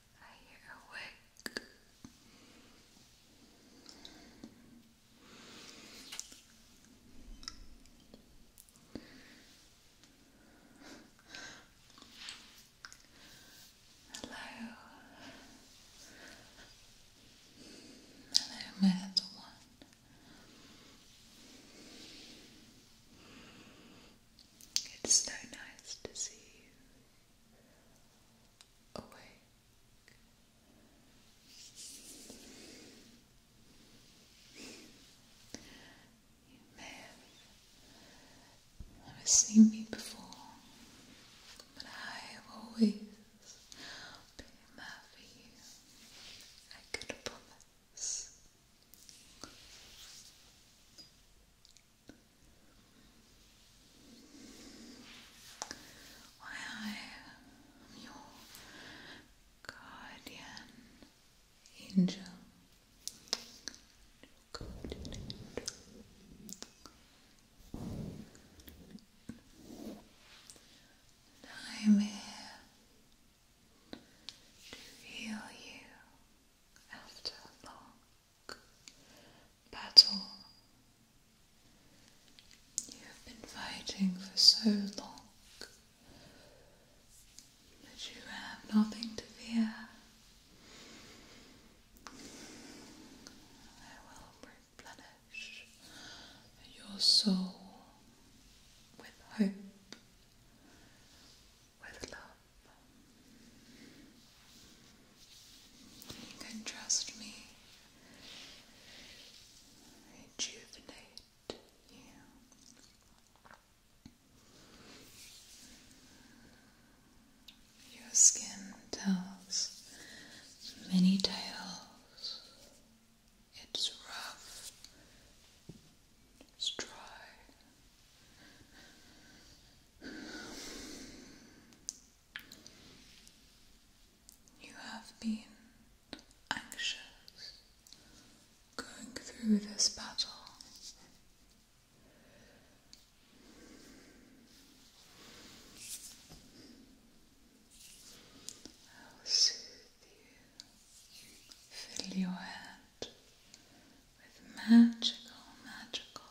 Are Hello. Hello, my little one. It's so nice to see you awake. have never seen me before, but I have always been there for you. I could promise. Why I am your guardian angel. Guardian angel. I'm here to heal you after long battle you have been fighting for so long that you have nothing to fear. I will replenish your soul with hope, with love. You can trust me. Rejuvenate you. Your skin tells many tales. It's rough. It's dry. You have been anxious going through this battle. I will soothe you, fill your head with magical, magical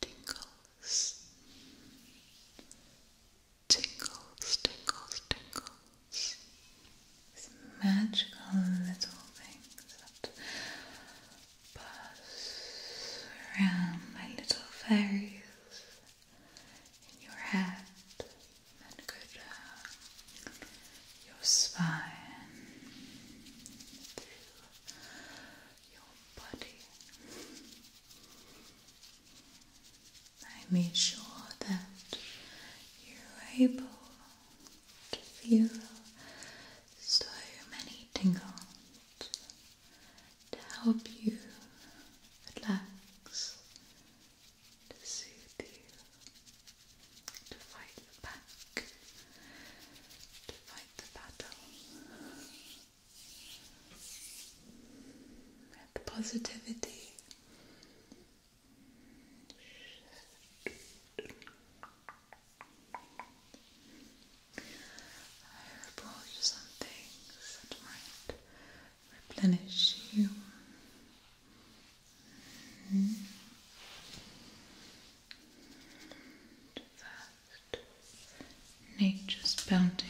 tingles, tingles, tingles, tingles. These magical little things that buzz around my little fairies in your head and go down your spine I made sure that you're able to feel so many tingles to help you relax, to soothe you, to fight back to fight the battle with positivity. I will brought you some things that might replenish you. Mm-hmm nature's bounty.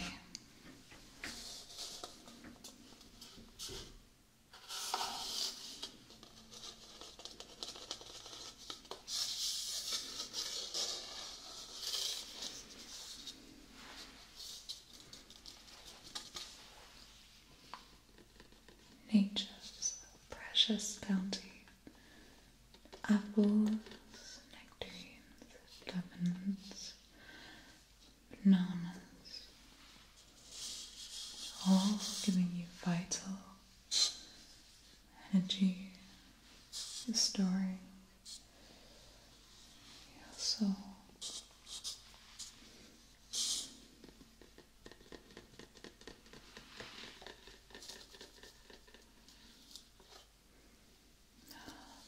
Nature's precious bounty apples, nectarines, lemons, bananas, all giving you vital energy, restoring your soul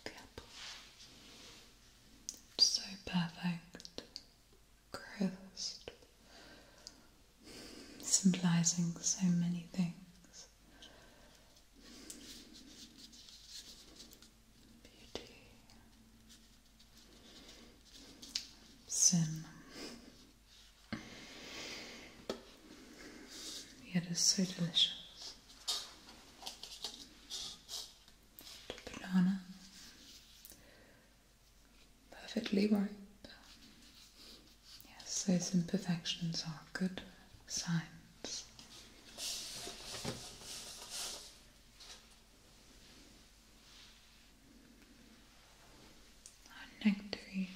the apple. so perfect. Crisp. Symbolizing so many things. Beauty. Sin it's so delicious. The banana, perfectly ripe. Yes, those imperfections are good signs. Our nectarine,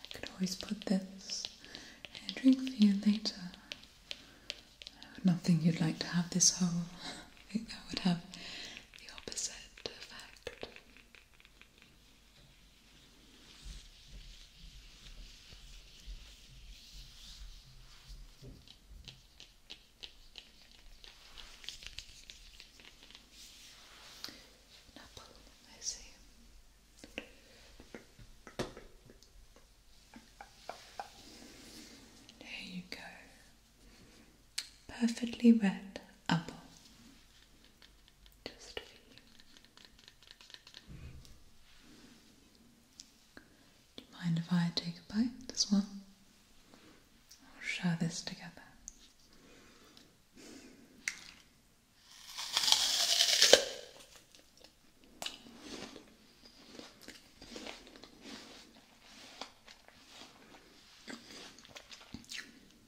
I could always put this and a drink for you later. Not think you'd like to have this whole. I think that would have the opposite effect apple, There you go. Perfectly red apple. Do you mind if I take a bite This one. We'll share this together.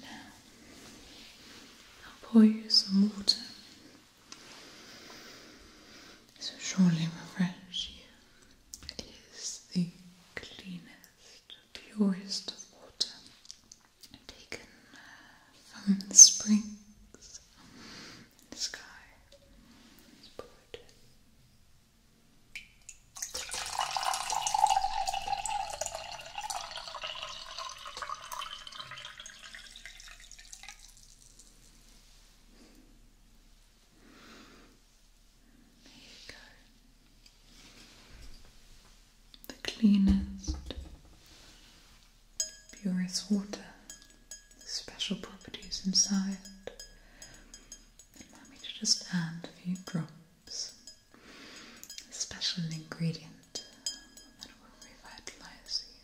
Now, I'll pour you some water. So surely refresh you. It is the cleanest purest of water taken uh, from the springs the sky. let There you go the cleanest, purest water, the special properties inside. Allow me to just add a few drops, a special ingredient that will revitalize you.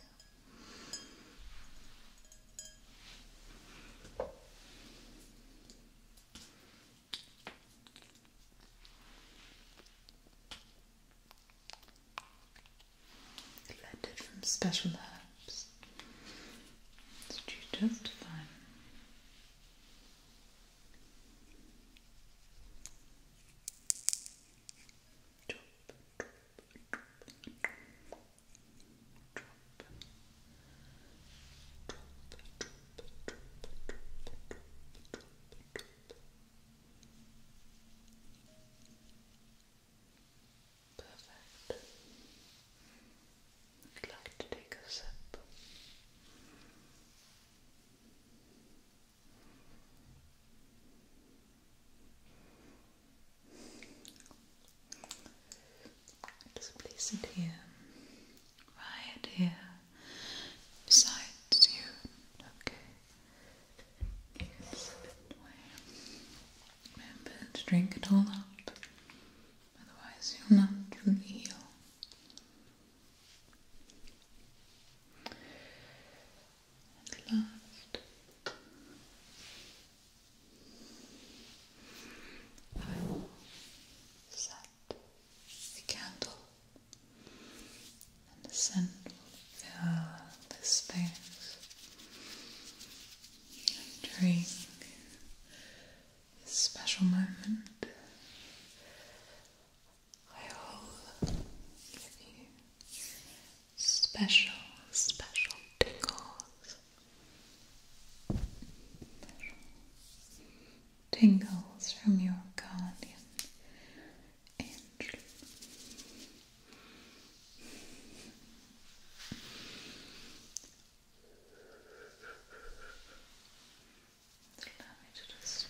Blended from special herbs. It's just fine. Perfect. I'd like to take a sip. Just place it here, right here besides you. Okay. Yes, Remember to drink it all up, otherwise you'll not really heal. And last, I will set the candle and the scent will fill the space And drink this special moment. I will give you special, special tingles. Special tingles from your guardian angel. Allow me to just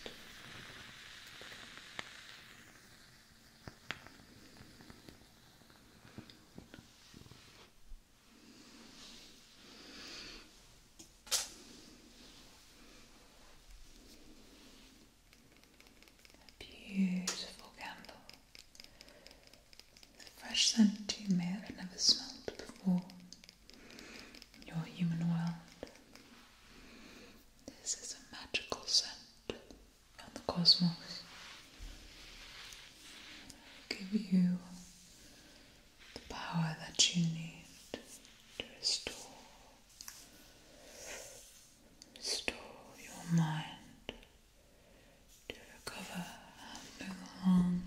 a beautiful candle. A fresh scent you may have never smelled before in your human world. This is a magical scent from the cosmos. Give you the power that you need to restore Store your mind to recover after the long,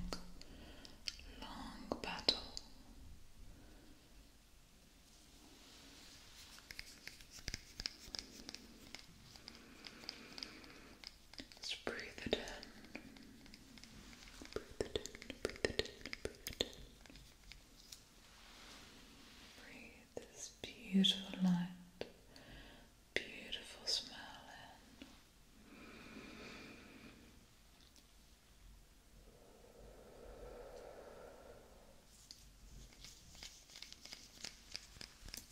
long battle. Just breathe it in. Breathe it in, breathe it in, breathe it in. Breathe this beautiful light, beautiful smell in.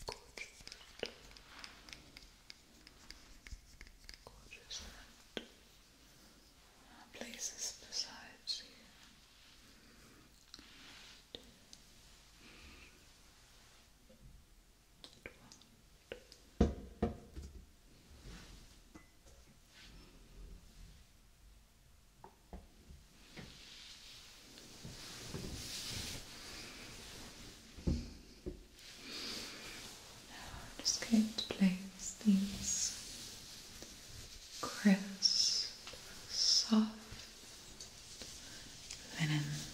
Gorgeous. Gorgeous scent places besides Now i just going to place these crisp, soft linens.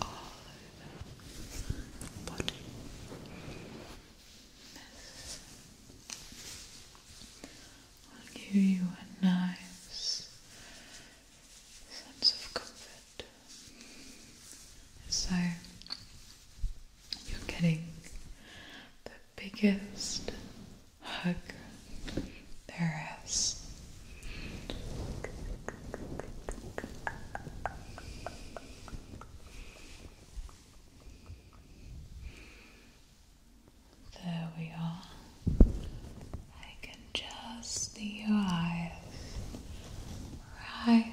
All over the body. This will give you a nice sense of comfort. So you're getting the biggest hug there is. There we are. I can just see your eyes right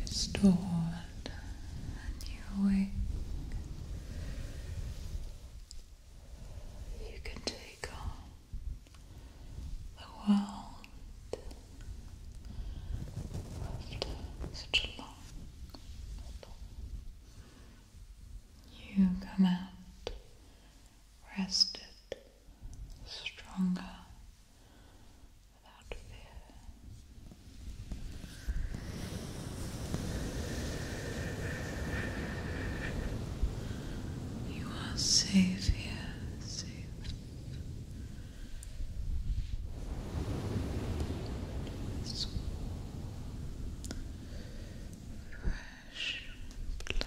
restored and you're You can take on the world after such a long battle. You come out rested, stronger, you are safe here, safe. fresh blanket,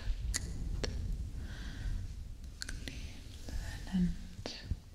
clean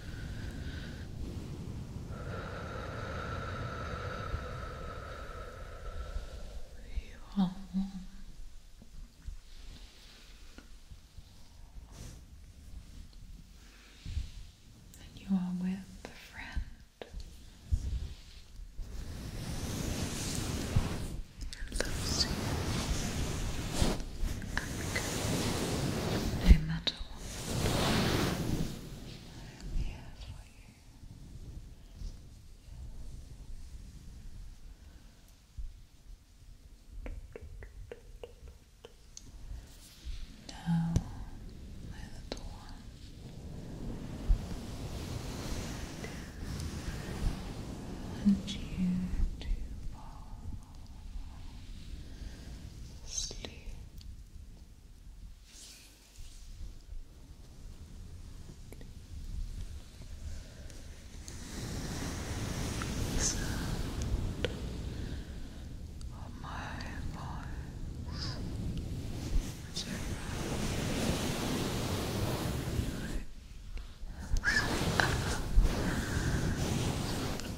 You are warm. And you are with a friend who loves you i No matter what, I'm here for you. Now, my little one. I want you to fall sleep. The sound my voice is around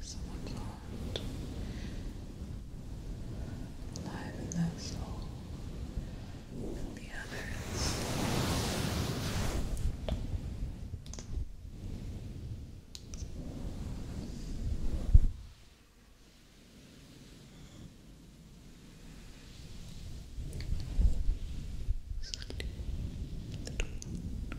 someone's heart. Liven that soul and the others. Sleep, little one.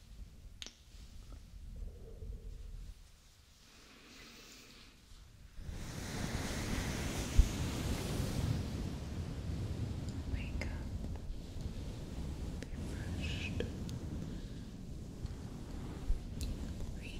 Wake up, be refreshed, renewed.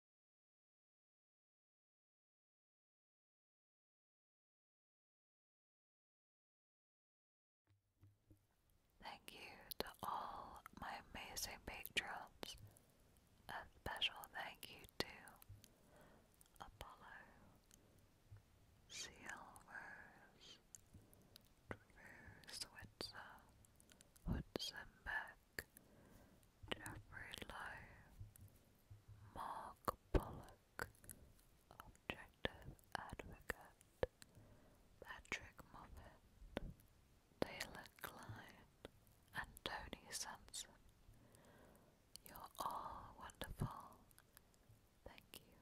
Thank you to all my amazing patrons. A special thank you to Apollo, Seal Drew Switzer, Hudson Jeffrey Lowe, Mark Pollock, Objective Advocate, Patrick Moffat, Taylor Klein, and Tony Sanson. You're all wonderful. Thank you.